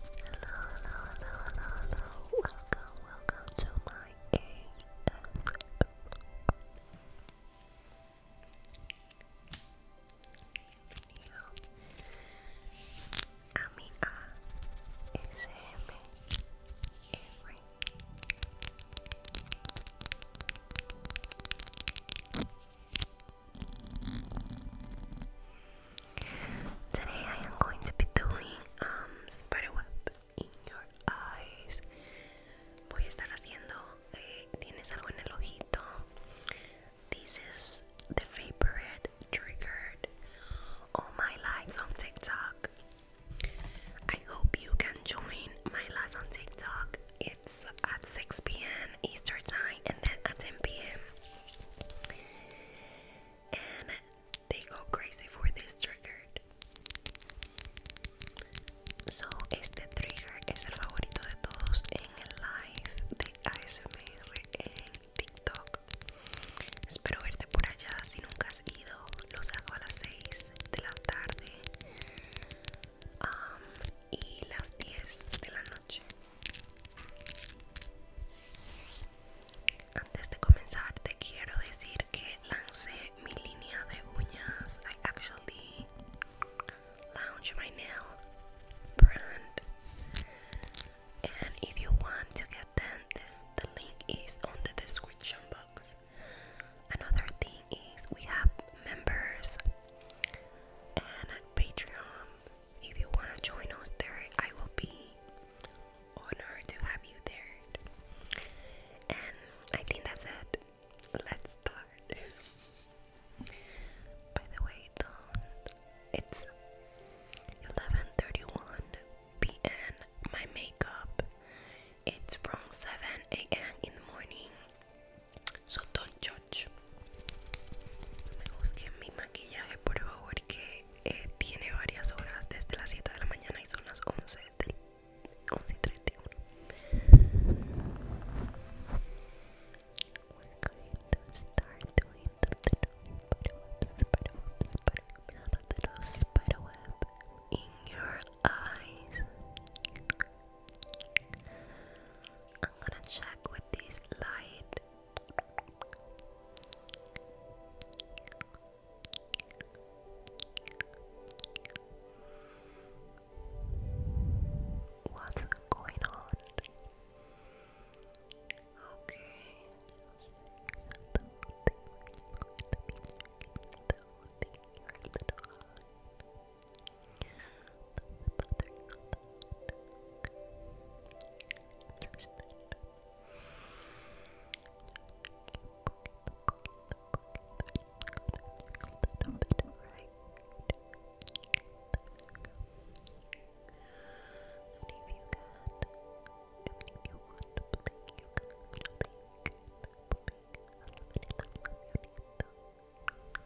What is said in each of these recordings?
hello, hello, hello. Welcome, welcome to my ASMR. Video. I'm ASMR. Every. Hello, Today I am going to be doing um, spiderwebs in your eyes. Voy a estar haciendo, eh, tienes algo en el ojito. This is the favorite triggered all my lives on TikTok. I hope you can join my live on TikTok. It's at 6 p.m. Eastern time and then at 10 p.m. and they go crazy for this trigger. So, este trigger es el favorito de todos en el live de ASMR en TikTok. Espero verte por allá si nunca has ido. Los hago a las 6 de la tarde um, y las 10 de la noche. Antes de comenzar te quiero decir que lancé mi línea de uñas. I actually launched my nail brand. And if you want to get them, the, the link is on the description box. Another thing is we have members and Patreon if you wanna join us there, I will be honored to have you there. And I think that's it. Let's start. By the way, don't. It's 11:31 p.m. My makeup. It's from 7 a.m. in the morning. So don't judge. Me mi maquillaje, por favor, que tiene varias horas desde las 7 de la mañana y son las 11 y 31 We're going to start doing the web in your eyes I'm gonna check with this light What's going on? Okay. A little bit right. And if you can't, even if you want to blink, you can blink, blink, blink, a little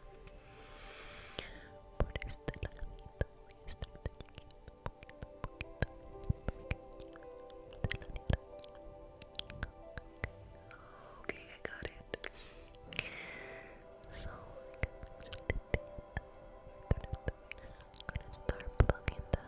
bit Por este ladito, Okay, I got it. So I'm gonna start plugging that.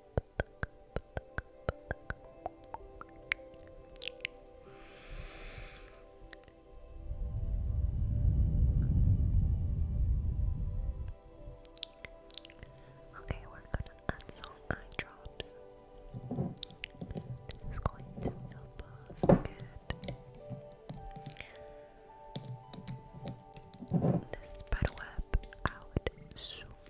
Okay, we're gonna add some eye drops. This is going to help us get this spiderweb out soon.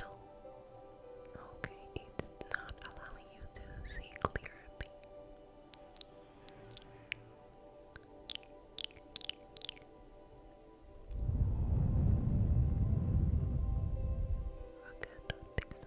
No. Okay, it's not allowing you to see clearly. Okay, don't think so.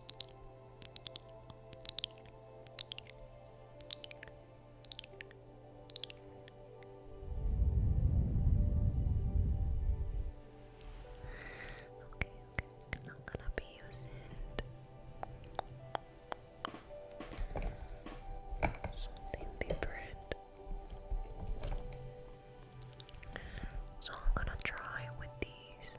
Okay, I'm gonna be using something different. So I'm gonna try with these.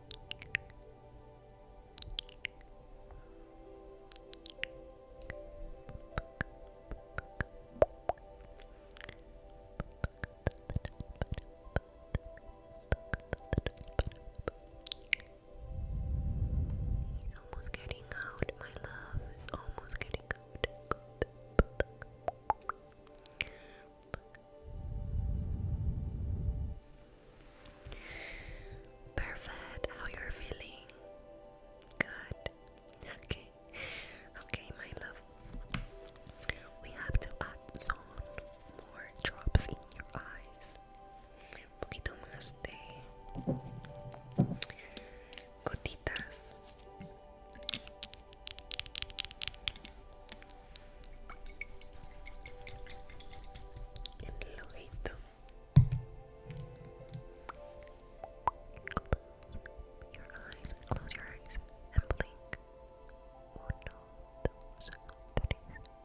He's almost getting out, my love. He's almost getting out. Perfect. How you're feeling? Good. Okay. Okay, my love. We have to add some more drops in your eyes. Un poquito más de gotitas en el close your eyes, close your eyes and blink one, two, three one, two,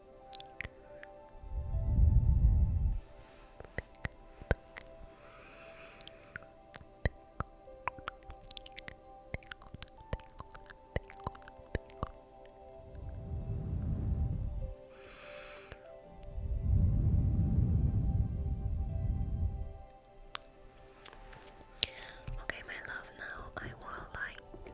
Okay, my love, now I will like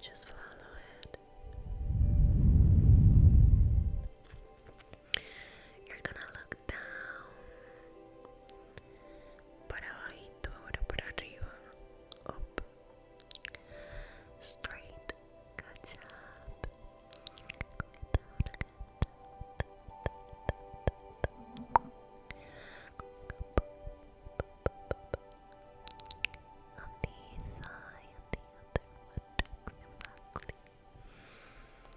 Just follow it. You're gonna look down para abajito, ahora para arriba, up, straight, catch up,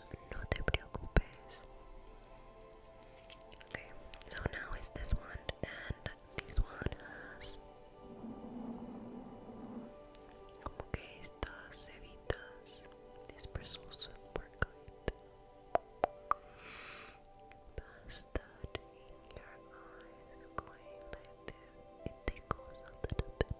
ojos, no so now is this one, and this one como que estas seditas. This bristles work good. Pass that in your eyes, going like this. It tickles a little bit,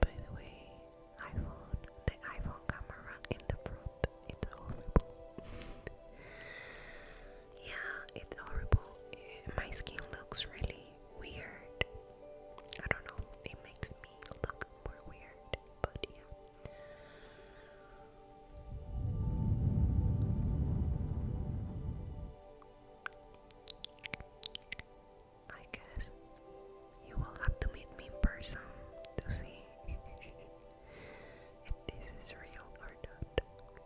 By the way, iPhone, the iPhone camera in the front, it's horrible. Yeah, it's horrible. Eh, my skin looks really weird. I don't know, it makes me look more weird, but yeah. I guess you will have to meet me in person to see if this is real or not.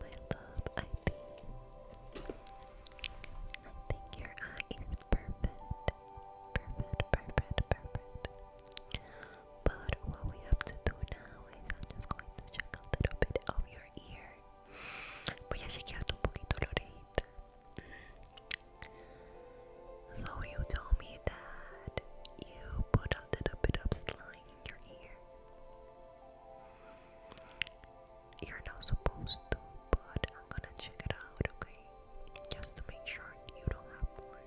my love, I think I think your eye is perfect. Perfect, perfect, perfect. But what we have to do now is I'm just going to check a little bit of your ear. So you told me that you put a little bit of slime in your ear. You're not supposed to, but I'm gonna check it out, okay? Just to make sure you don't have more.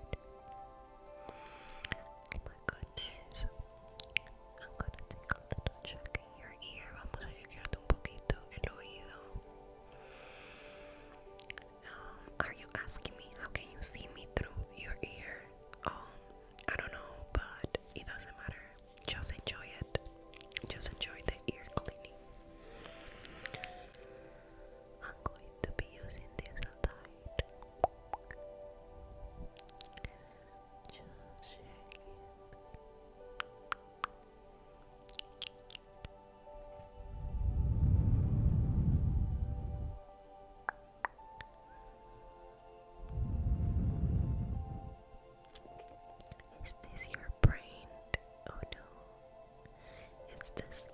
Oh my goodness. I'm gonna take a little check in your ear. Vamos a chequearte un poquito el oído. are you asking me how can you see me through your ear? Um, I don't know, but it doesn't matter. Just enjoy it. Just enjoy the ear cleaning. I'm going to be using this light. Is this your brain? Oh no, it's the slime.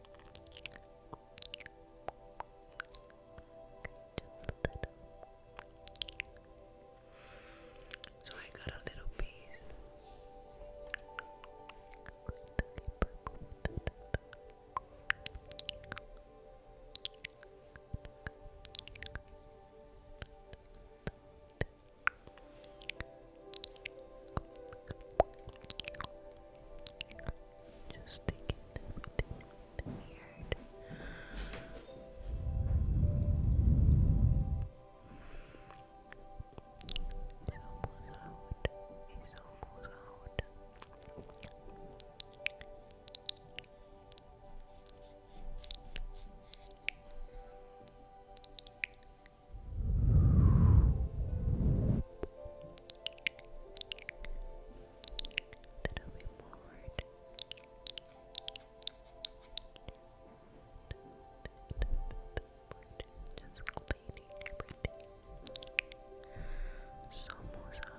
So I got a little piece. Just taking everything out the beard. It's almost out. It's almost out. That'll be moored. Just cleaning everything. Somos out.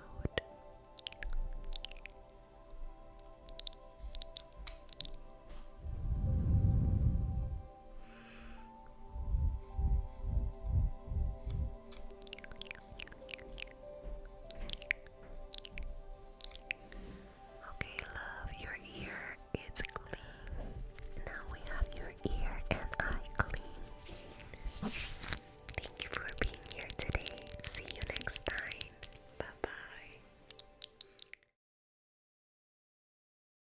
Okay, love, your ear is clean. Now we have your ear and eye clean. Thank you for being here today. See you next time. Bye bye.